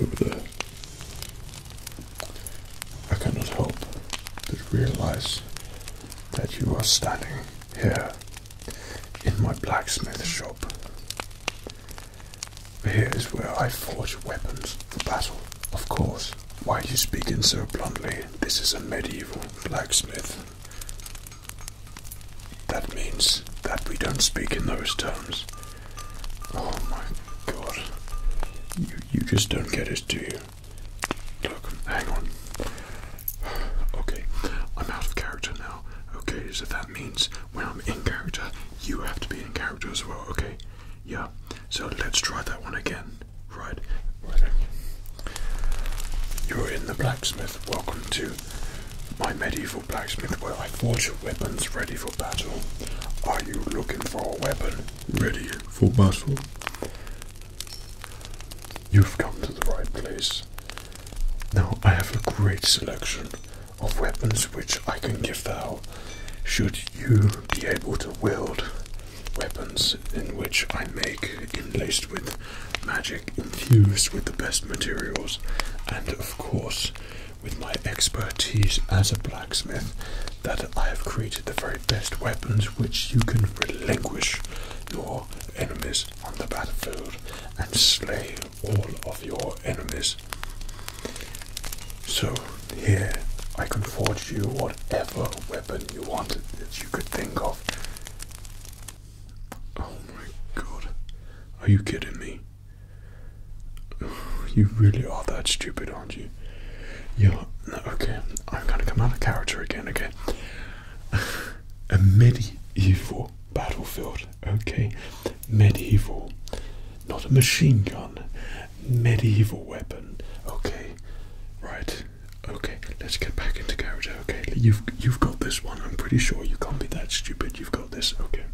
over there. I cannot help but realize that you are standing here in my blacksmith shop. Here is where I forge weapons for battle. Of course, why are you speaking so bluntly? This is a medieval blacksmith. That means that we don't speak in those terms. Oh my god. You, you just don't get it, do you? Look, hang on. Okay, I'm out of character now. Okay, so that means when I'm in character, you have to be in character as well, okay? Yeah, so let's try that one again. Right, right. You're in the blacksmith. Welcome to my medieval blacksmith where I forge your weapons ready for battle. Are you looking for a weapon ready for battle? You've come to the right place. Now I have a great selection of weapons which I can give thou should you be able to wield weapons in which I make interlaced with magic infused with the best materials, and of course, with my expertise as a blacksmith, that I have created the very best weapons which you can relinquish your enemies on the battlefield and slay all of your enemies. So, here I can forge you whatever weapon you want that you could think of. Oh my god. Are you kidding me? You really are that stupid, aren't you? Yeah, okay. I'm gonna come out of character again, okay? A medieval battlefield, okay? Medieval. Not a machine gun. Medieval weapon, okay? Right, okay. Let's get back into character okay. You've you've got this one. I'm pretty sure you can't be that stupid. You've got this, okay.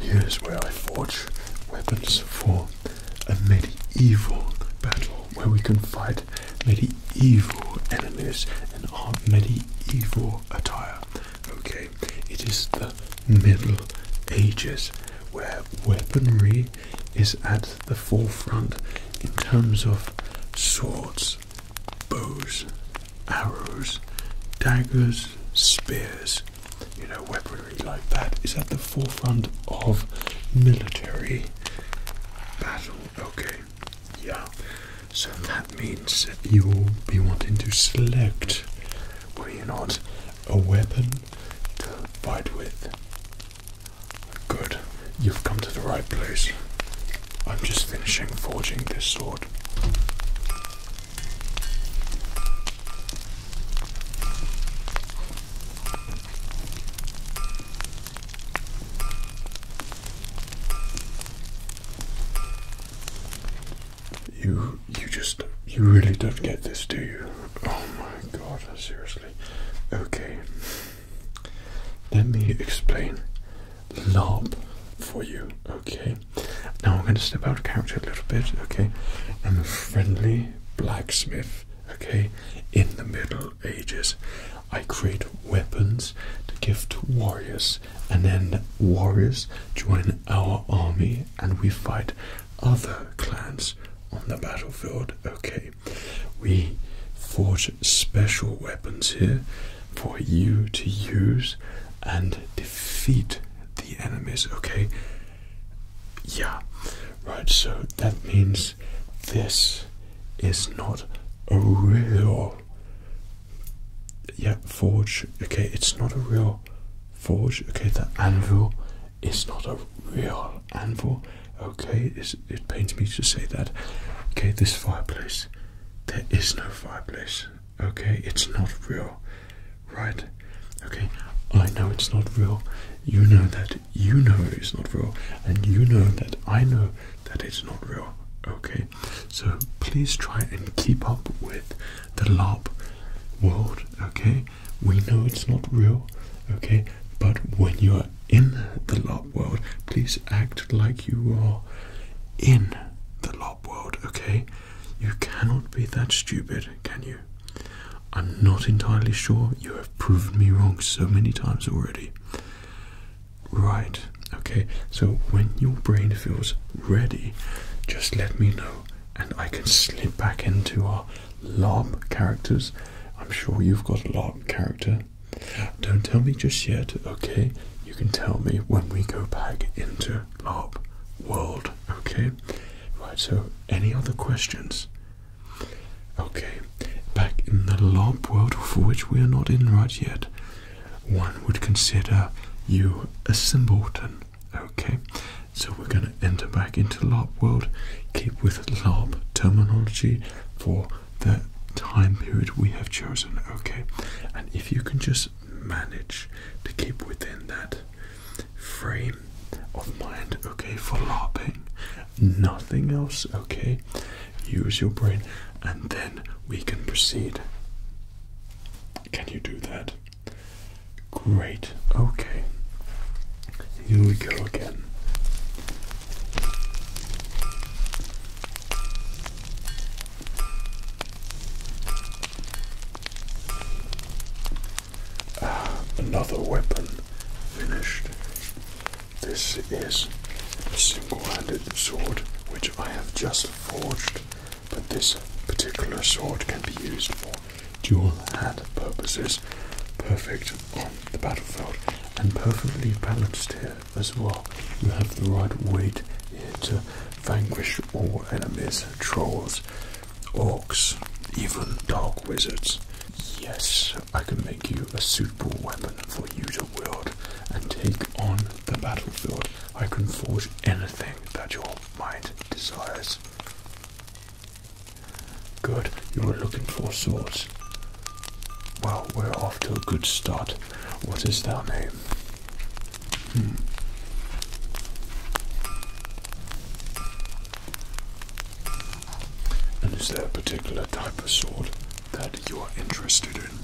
Here's where I forge weapons for a medieval battle where we can fight medieval enemies in our medieval attire. Okay, it is the Middle Ages where weaponry is at the forefront in terms of swords bows, arrows, daggers, spears, you know, weaponry like that is at the forefront of military battle. Okay, yeah. So that means that you'll be wanting to select, will you not, a weapon to fight with? Good, you've come to the right place. I'm just finishing forging this sword. You you just you really don't get this, do you? Oh my god, seriously. Okay let me explain LARP for you, okay? Now I'm going to step out of character a little bit, okay? I'm a friendly blacksmith, okay? In the Middle Ages, I create weapons to give to warriors, and then warriors join our army, and we fight other clans on the battlefield, okay? We forge special weapons here for you to use and defeat the enemies, okay? Yeah, right, so that means this is not a real yeah, forge, okay, it's not a real forge, okay, the anvil is not a real anvil, okay, it pains me to say that, okay, this fireplace there is no fireplace. Okay, it's not real. Right? Okay, I know it's not real. You know that you know it's not real. And you know that I know that it's not real. Okay, so please try and keep up with the LARP world. Okay, we know it's not real. Okay, but when you're in the LOP world, please act like you are in the LOP world, okay? You cannot be that stupid, can you? I'm not entirely sure. You have proven me wrong so many times already. Right, okay, so when your brain feels ready, just let me know and I can slip back into our LOB characters. I'm sure you've got a LOB character don't tell me just yet, okay? You can tell me when we go back into LARP world, okay? Right, so any other questions? Okay, back in the LARP world for which we are not in right yet, one would consider you a symbolton, okay? So we're going to enter back into LARP world, keep with LARP terminology for the time period we have chosen, okay? And if you can just manage to keep within that frame of mind, okay, for LARPing, nothing else, okay? Use your brain and then we can proceed. Can you do that? Great, okay. Here we go again another weapon finished. This is a single-handed sword which I have just forged, but this particular sword can be used for dual-hand purposes. Perfect on the battlefield and perfectly balanced here as well. You have the right weight to vanquish all enemies, trolls, orcs, even dark wizards. Yes, I can make you a suitable weapon for you to wield and take on the battlefield. I can forge anything that your mind desires. Good, you are looking for swords. Well, we're off to a good start. What is thou name? Hmm. And is there a particular type of sword that you are interested in?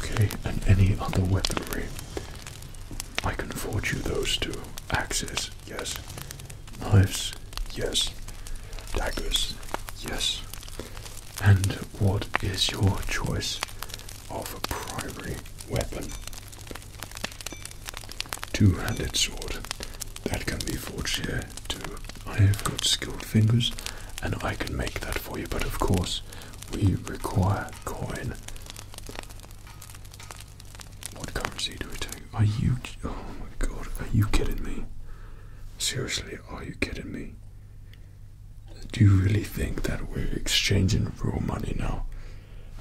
Okay, and any other weaponry? I can forge you those two. Axes, yes. Knives, yes. Daggers, yes. And what is your choice of a primary weapon? Two handed sword. That can be forged here too. I have got skilled fingers and I can make that for you, but of course we require coin. What currency do we take? Are you. Oh my god, are you kidding me? Seriously, are you kidding me? Do you really think that we're exchanging real money now?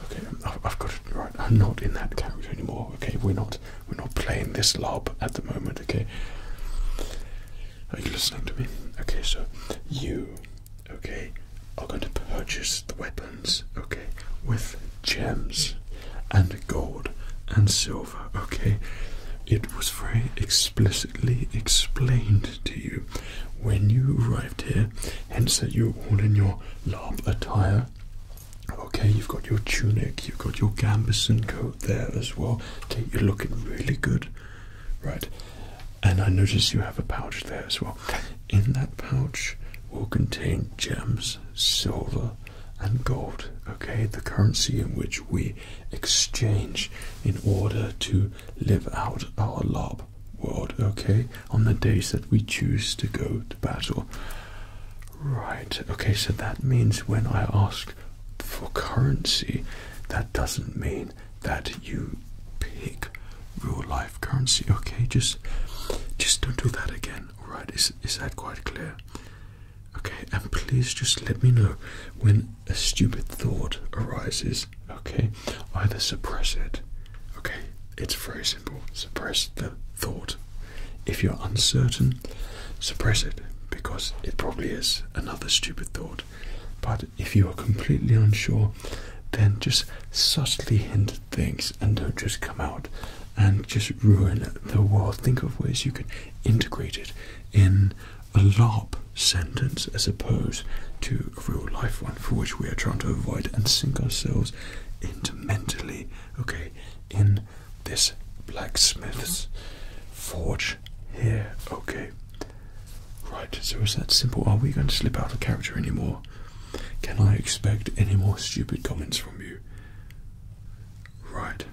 Okay, um, I've, got it right. I'm not in that character anymore. Okay, we're not. We're not playing this lob at the moment. Okay. Are you listening to me? Okay, so you, okay, are going to purchase the weapons. Okay, with gems and gold and silver, okay? It was very explicitly explained to you when you arrived here, hence that you're all in your lab attire. Okay, you've got your tunic, you've got your gambeson coat there as well. Okay, you're looking really good. Right, and I notice you have a pouch there as well. In that pouch will contain gems, silver, and gold, okay, the currency in which we exchange in order to live out our lob world, okay, on the days that we choose to go to battle. Right, okay, so that means when I ask for currency, that doesn't mean that you pick real life currency, okay? Just just don't do that again, Right? Is is that quite clear? Okay, and please just let me know when a stupid thought arises. Okay, either suppress it. Okay, it's very simple. Suppress the thought. If you're uncertain, suppress it because it probably is another stupid thought. But if you are completely unsure, then just subtly hint at things and don't just come out and just ruin the world. Think of ways you can integrate it in a LARP sentence as opposed to a real life one for which we are trying to avoid and sink ourselves into mentally, okay, in this blacksmith's forge here, okay. Right, so is that simple? Are we going to slip out of character anymore? Can I expect any more stupid comments from you? Right,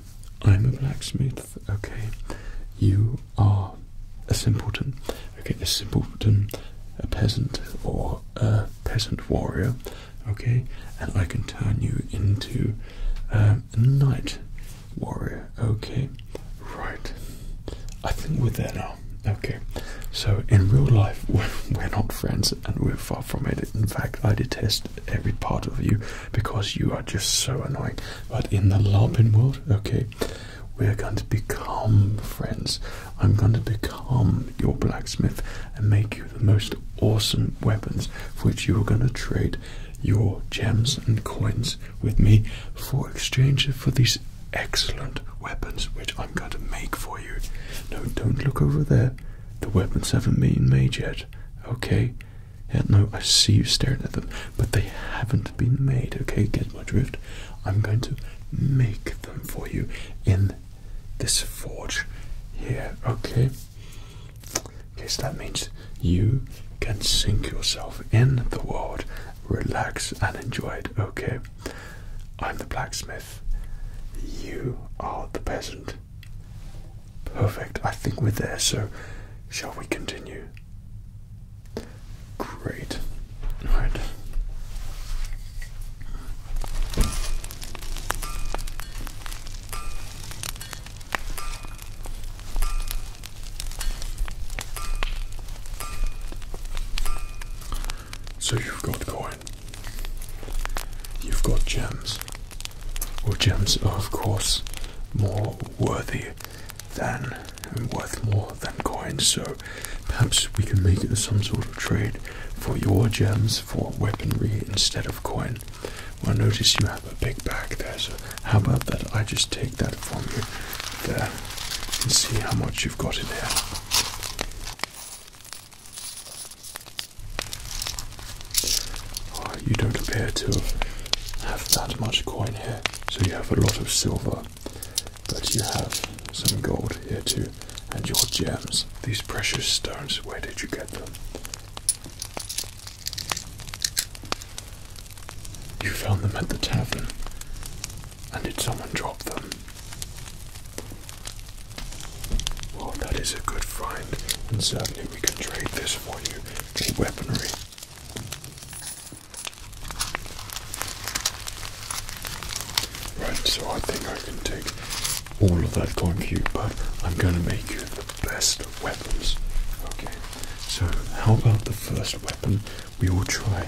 I'm a blacksmith, okay. You are a simpleton. Okay, a simpleton, a peasant, or a peasant warrior, okay, and I can turn you into um, a knight warrior, okay. Right, I think we're there now, okay. So, in real life, we're not friends and we're far from it. In fact, I detest every part of you because you are just so annoying. But in the LARPing world, okay, we're going to become friends. I'm going to become your blacksmith and make you the most awesome weapons for which you are going to trade your gems and coins with me for exchange for these excellent weapons which I'm going to make for you. No, don't look over there. The weapons haven't been made yet, okay? Yeah, no, I see you staring at them, but they haven't been made, okay? Get my drift? I'm going to make them for you in this forge here, okay? Okay, so that means you can sink yourself in the world, relax and enjoy it, okay? I'm the blacksmith. You are the peasant. Perfect. I think we're there, so shall we continue? Great. Alright. So you've got to go You've got gems. or gems are, of course, more worthy than worth more than coins, so perhaps we can make some sort of trade for your gems for weaponry instead of coin. Well, notice you have a big bag there, so how about that? I just take that from you there and see how much you've got in there you don't appear to have that much coin here, so you have a lot of silver, but you have some gold here too, and your gems. These precious stones, where did you get them? You found them at the tavern, and did someone drop them? Well, that is a good find, and certainly we can trade this for you in weaponry. Right, so I think I can take all of that coin cube, but I'm gonna make you the best weapons. Okay, so how about the first weapon? We will try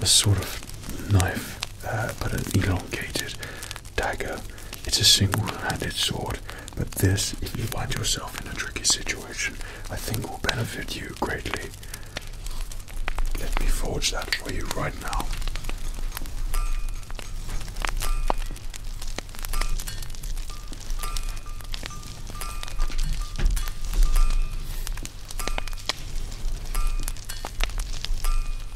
a sort of knife, uh, but an elongated dagger. It's a single-handed sword, but this, if you find yourself in a tricky situation, I think will benefit you greatly. Let me forge that for you right now.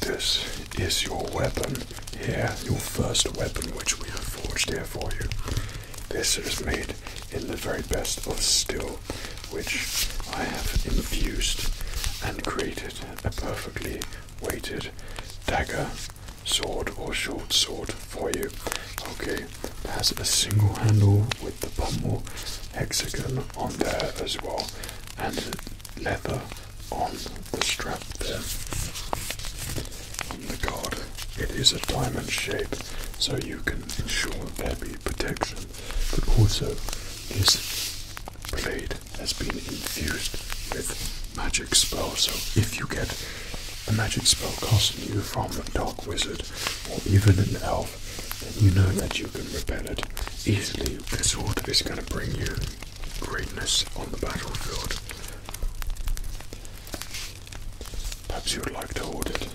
This is your weapon here, your first weapon which we have forged here for you. This is made in the very best of steel, which I have infused and created a perfectly weighted dagger, sword, or short sword for you. Okay, it has a single handle with the pommel hexagon on there as well and leather on the strap there. On the guard, it is a diamond shape, so you can ensure there be protection, but also this blade has been infused with magic spell. So if you get a magic spell costing you from a dark wizard or even an elf, you know that you can repel it easily. The sword is going to bring you greatness on the battlefield. Perhaps you would like to hold it.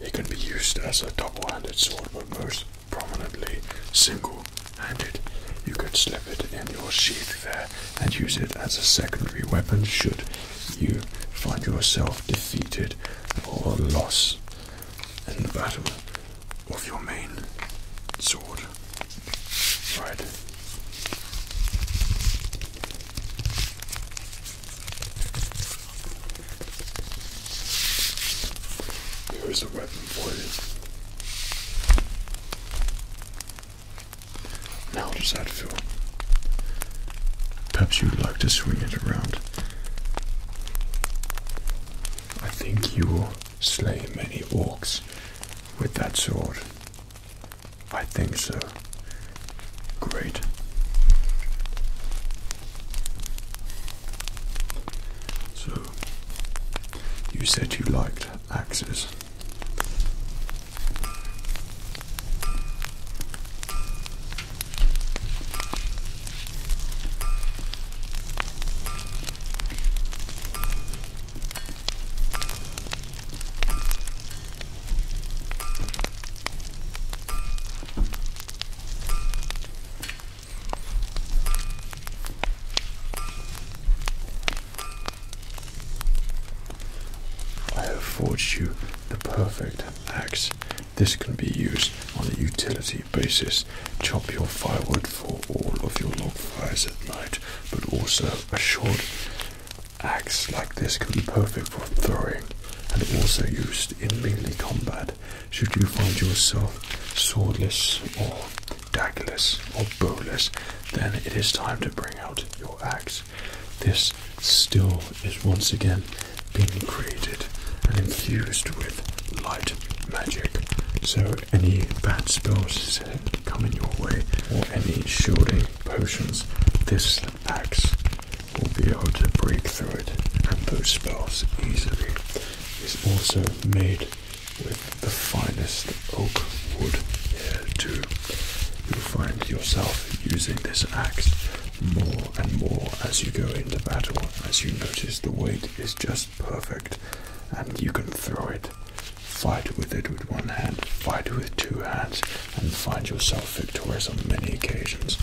It can be used as a double-handed sword, but most prominently single-handed. You could slip it in your sheath there and use it as a secondary weapon should you find yourself defeated or lost in the battle of your main sword. Right. Here is a weapon for you. how does that feel? Perhaps you'd like to swing it around. I think you will slay many orcs with that sword. I think so. Great. So, you said you liked axes. I have forged you the perfect axe this can be used on a utility basis. Chop your firewood for all of your log fires at night, but also a short axe like this can be perfect for throwing and also used in melee combat. Should you find yourself swordless or daggerless or bowless, then it is time to bring out your axe. This still is once again being created and infused with light magic. So any bad spells that come in your way, or any shielding potions, this axe will be able to break through it and those spells easily. It's also made with the finest oak wood too. You'll find yourself using this axe more and more as you go into battle, as you notice the weight is just perfect. And you can throw it, fight with it with one hand, fight with two hands, and find yourself victorious on many occasions.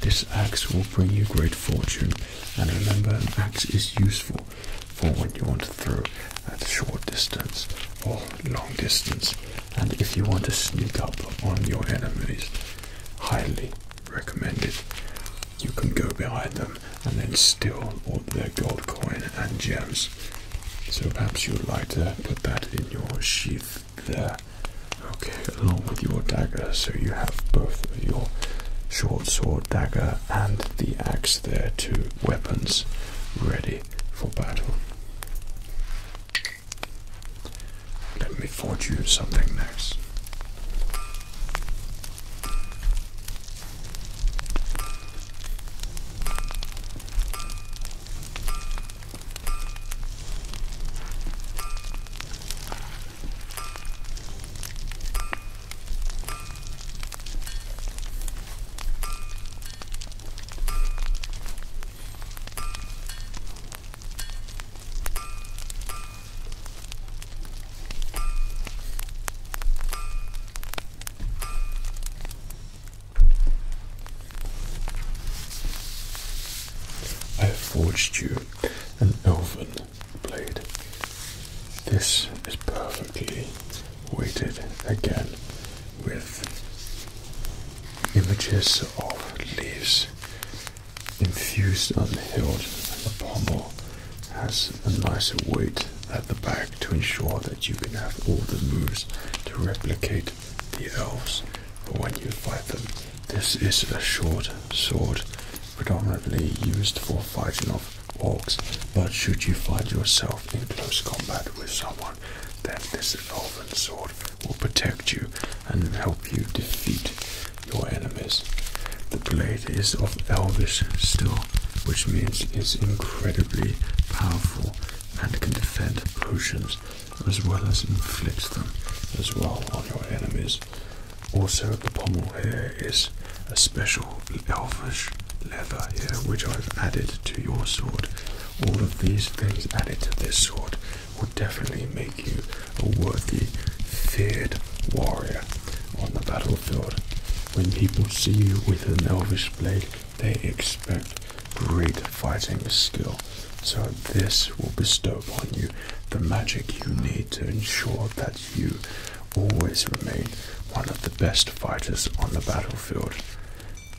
This axe will bring you great fortune. And remember, an axe is useful for when you want to throw at short distance or long distance. And if you want to sneak up on your enemies, highly recommended you can go behind them and then steal all their gold coin and gems. So perhaps you would like to put that in your sheath there. Okay, along with your dagger, so you have both of your short sword dagger and the axe there, two weapons ready for battle. Let me forge you something nice. I forged you an elven blade. This is perfectly weighted again with images of leaves infused on the hilt and the pommel has a nicer weight at the back to ensure that you can have all the moves to replicate the elves when you fight them. This is a short sword, predominantly used for fighting off orcs, but should you find yourself in close combat with someone, then this elven sword will protect you and help you defeat your enemies. The blade is of elvish steel, which means it's incredibly powerful and can defend potions as well as inflict them as well on your enemies. Also, the pommel here is a special elvish leather here, which I've added to your sword. All of these things added to this sword will definitely make you a worthy, feared warrior on the battlefield. When people see you with an elvish blade, they expect great fighting skill. So this will bestow upon you the magic you need to ensure that you always remain one of the best fighters on the battlefield.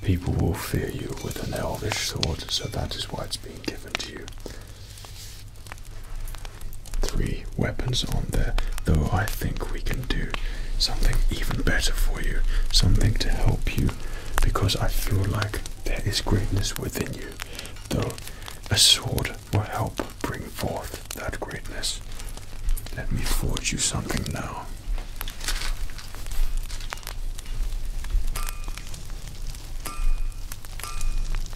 People will fear you with an elvish sword, so that is why it's being given to you. Three weapons on there, though I think we can do something even better for you, something to help you, because I feel like there is greatness within you, though a sword will help bring forth that greatness. Let me forge you something now.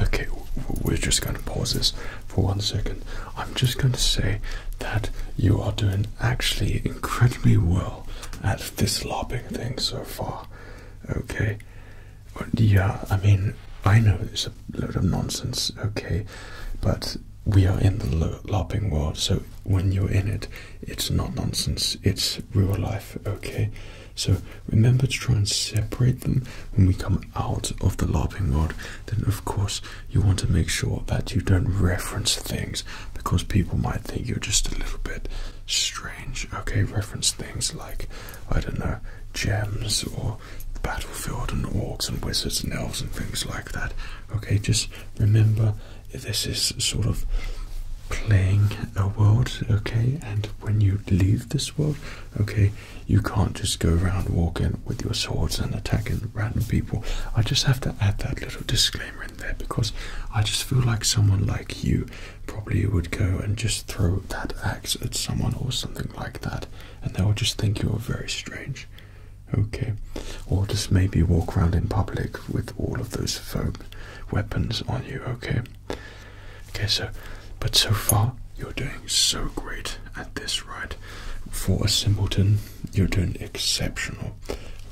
Okay, we're just going to pause this for one second. I'm just going to say that you are doing actually incredibly well at this lopping thing so far. Okay, yeah, I mean, I know it's a load of nonsense, okay, but we are in the LARPing world, so when you're in it, it's not nonsense, it's real life, okay? So remember to try and separate them when we come out of the LARPing world. Then, of course, you want to make sure that you don't reference things because people might think you're just a little bit strange, okay? Reference things like, I don't know, gems or battlefield and orcs and wizards and elves and things like that. Okay, just remember this is sort of playing a world, okay, and when you leave this world, okay, you can't just go around walking with your swords and attacking random people. I just have to add that little disclaimer in there because I just feel like someone like you probably would go and just throw that axe at someone or something like that, and they will just think you're very strange. Okay, or just maybe walk around in public with all of those foam weapons on you. Okay, okay. So, but so far you're doing so great at this, right? For a simpleton, you're doing exceptional.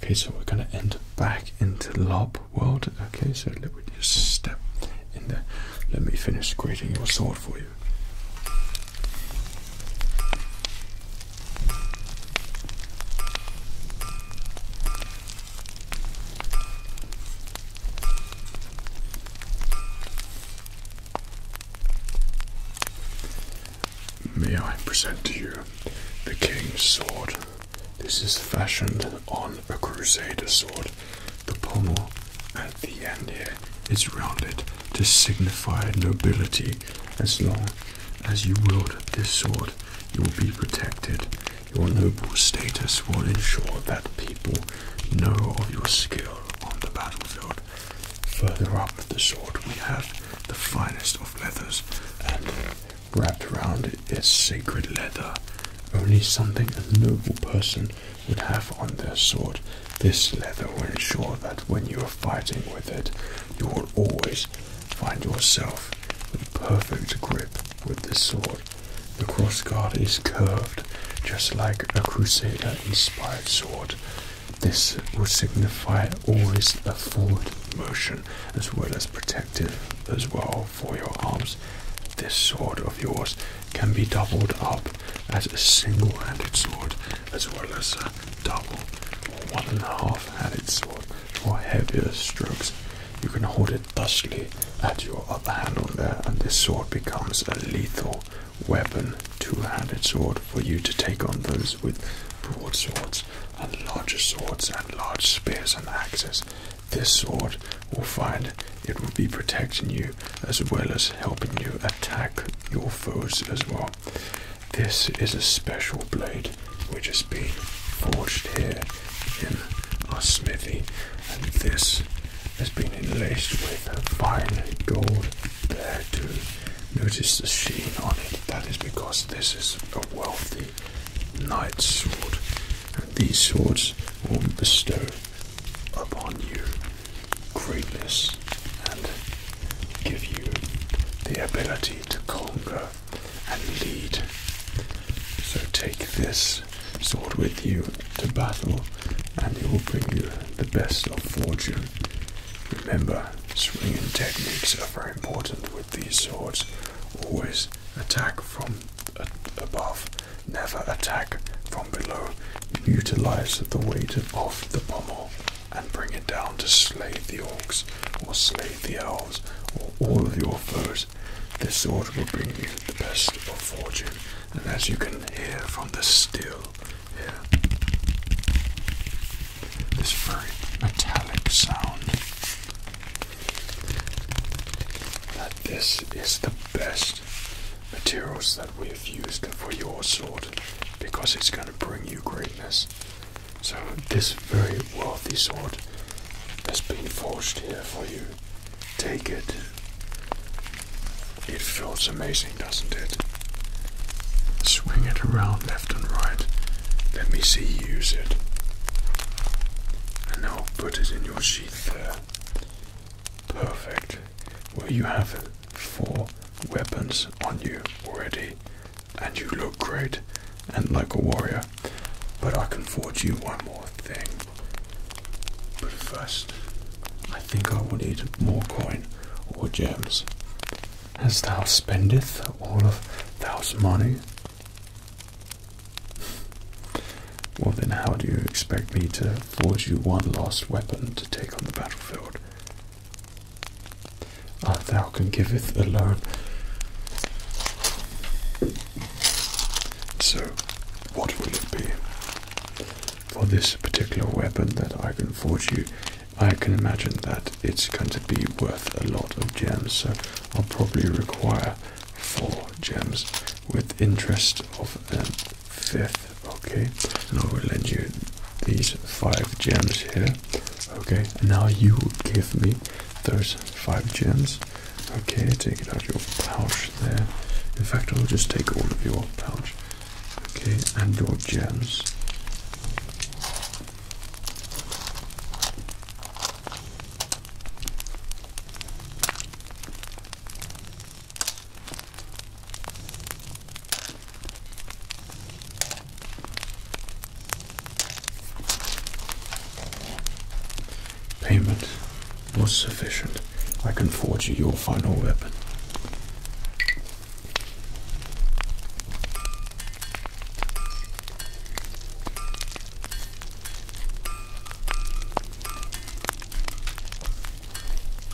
Okay, so we're gonna enter back into lob world. Okay, so let me just step in there. Let me finish creating your sword for you. May I present to you the King's Sword? This is fashioned on a Crusader sword. The pommel the end here is rounded to signify nobility. As long as you wield this sword, you will be protected. Your noble status will ensure that people know of your skill on the battlefield. Further up the sword, we have the finest of leathers, and wrapped around it is sacred leather. Only something a noble person would have on their sword this leather will ensure that when you are fighting with it, you will always find yourself in perfect grip with this sword. The crossguard is curved, just like a Crusader-inspired sword. This will signify always a forward motion, as well as protective as well for your arms. This sword of yours can be doubled up as a single-handed sword as well as a double or one and a half handed sword for heavier strokes. You can hold it thusly at your other hand on there, and this sword becomes a lethal weapon, two handed sword for you to take on those with broadswords and larger swords and large spears and axes. This sword will find it will be protecting you as well as helping you attack your foes as well. This is a special blade which has been forged here in our smithy, and this has been enlaced with a fine gold there Notice the sheen on it. That is because this is a wealthy knight's sword, and these swords will bestowed upon you greatness and give you the ability to conquer and lead. So take this sword with you to battle and it will bring you the best of fortune. Remember, swinging techniques are very important with these swords. Always attack from above, never attack from below. Utilize the weight of the pommel and bring it down to slay the orcs or slay the elves or all of your foes. This sword will bring you the best of fortune, and as you can hear from the still, here, this very metallic sound, that this is the best materials that we have used for your sword because it's going to bring you greatness. So, this very wealthy sword has been forged here for you. Take it. It feels amazing, doesn't it? Swing it around left and right. Let me see you use it. And now put it in your sheath there. Perfect. Well, you have it four weapons on you already, and you look great and like a warrior. But I can forge you one more thing. But first, I think I will need more coin or gems. As thou spendeth all of thou's money. Well, then, how do you expect me to forge you one last weapon to take on the battlefield? Ah, thou can giveth alone. So, what will it be? For this particular weapon that I can forge you, I can imagine that it's going to be worth a lot of gems, so I'll probably require four gems with interest of an fifth. Okay, and I will lend you these five gems here. Okay, now you give me those five gems. Okay, take it out your pouch there. In fact, I'll just take all of your pouch. Okay, and your gems. Payment was sufficient. I can forge you your final weapon.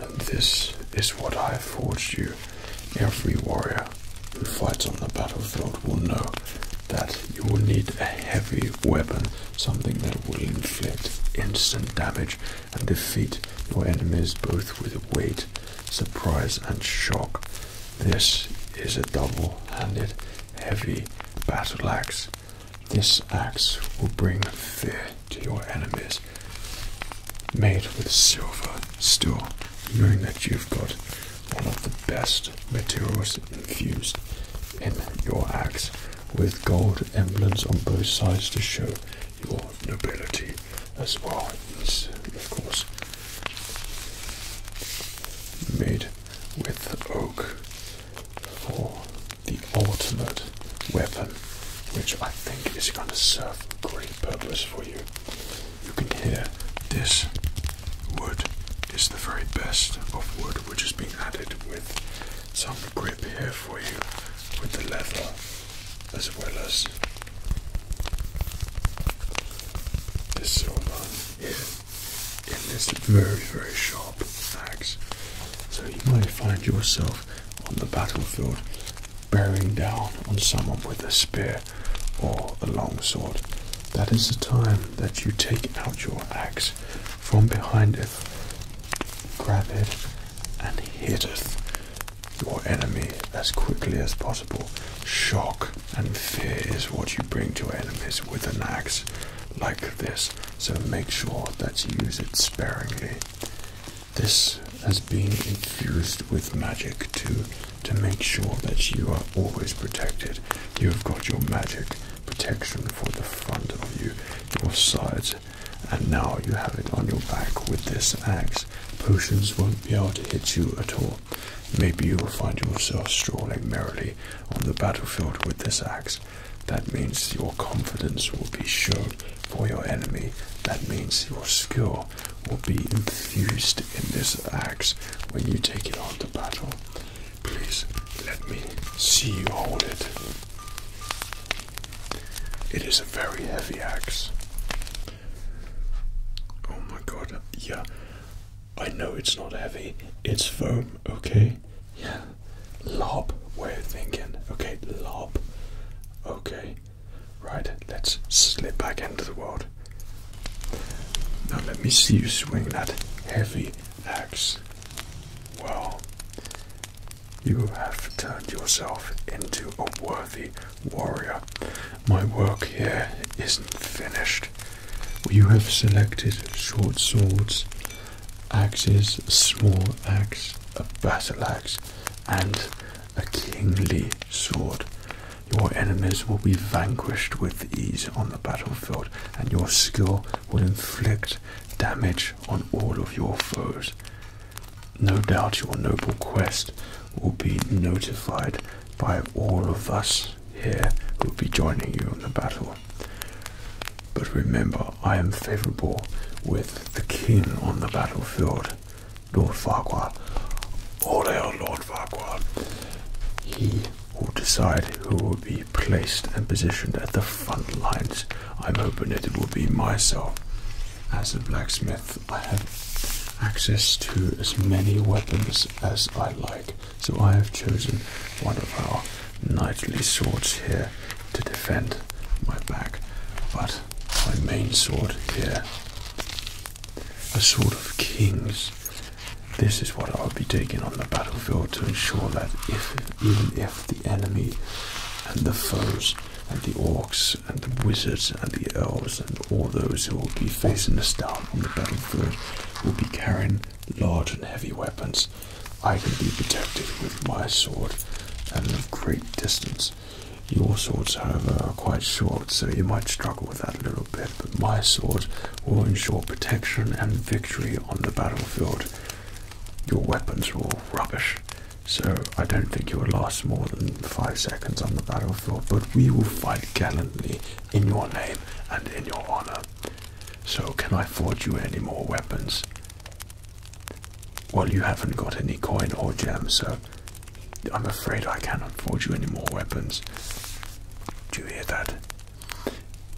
And this is what I have forged you. Every warrior who fights on the battlefield will know that you will need a heavy weapon, something that will inflict instant damage and defeat your enemies both with weight, surprise, and shock. This is a double handed heavy battle axe. This axe will bring fear to your enemies. Made with silver still, knowing that you've got one of the best materials infused in your axe with gold emblems on both sides to show your nobility as well. It's, of course, made with oak for the ultimate weapon, which I think is going to serve great purpose for you. You can hear this wood is the very best of wood which is being added with some grip here for you with the leather as well as this silver here in this very very sharp axe. So you might find yourself on the battlefield bearing down on someone with a spear or a long sword. That is the time that you take out your axe from behind it, grab it, and hitteth your enemy as quickly as possible. Shock and fear is what you bring to enemies with an axe like this, so make sure that you use it sparingly. This has been infused with magic too, to make sure that you are always protected. You have got your magic protection for the front of you, your sides, and now you have it on your back with this axe. Potions won't be able to hit you at all. Maybe you will find yourself strolling merrily on the battlefield with this axe. That means your confidence will be shown for your enemy. That means your skill will be infused in this axe when you take it on to battle. Please let me see you hold it. It is a very heavy axe. Oh my god, yeah. I know it's not heavy, it's foam, okay? Yeah. Lob, Where are thinking. Okay, lob. Okay. Right, let's slip back into the world. Now let me see you swing that heavy axe. Wow. You have turned yourself into a worthy warrior. My work here isn't finished. You have selected short swords, axes, a small axe, a battle axe, and a kingly sword. Your enemies will be vanquished with ease on the battlefield, and your skill will inflict damage on all of your foes. No doubt your noble quest will be notified by all of us here who will be joining you in the battle. But remember, I am favourable with the king on the battlefield, Lord Farquhar. All hail Lord Farquhar. He will decide who will be placed and positioned at the front lines I'm hoping that it will be myself. As a blacksmith, I have access to as many weapons as I like, so I have chosen one of our knightly swords here to defend my back, but my main sword here, a sword of kings. This is what I'll be taking on the battlefield to ensure that if even the enemy and the foes and the orcs and the wizards and the elves and all those who will be facing us down on the battlefield will be carrying large and heavy weapons, I can be protected with my sword at a great distance. Your swords, however, are quite short, so you might struggle with that a little bit, but my sword will ensure protection and victory on the battlefield. Your weapons are all rubbish, so I don't think you will last more than five seconds on the battlefield, but we will fight gallantly in your name and in your honor. So can I forge you any more weapons? Well, you haven't got any coin or gems, so I'm afraid I cannot forge you any more weapons. Do you hear that?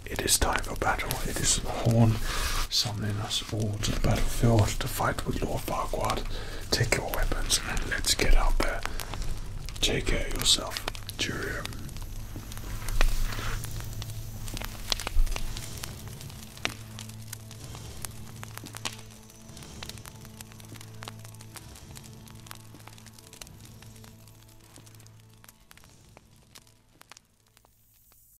It is time for battle. It is the horn summoning us all to the battlefield to fight with Lord Barquard. Take your weapons and let's get out there. Take care of yourself. Cheerio.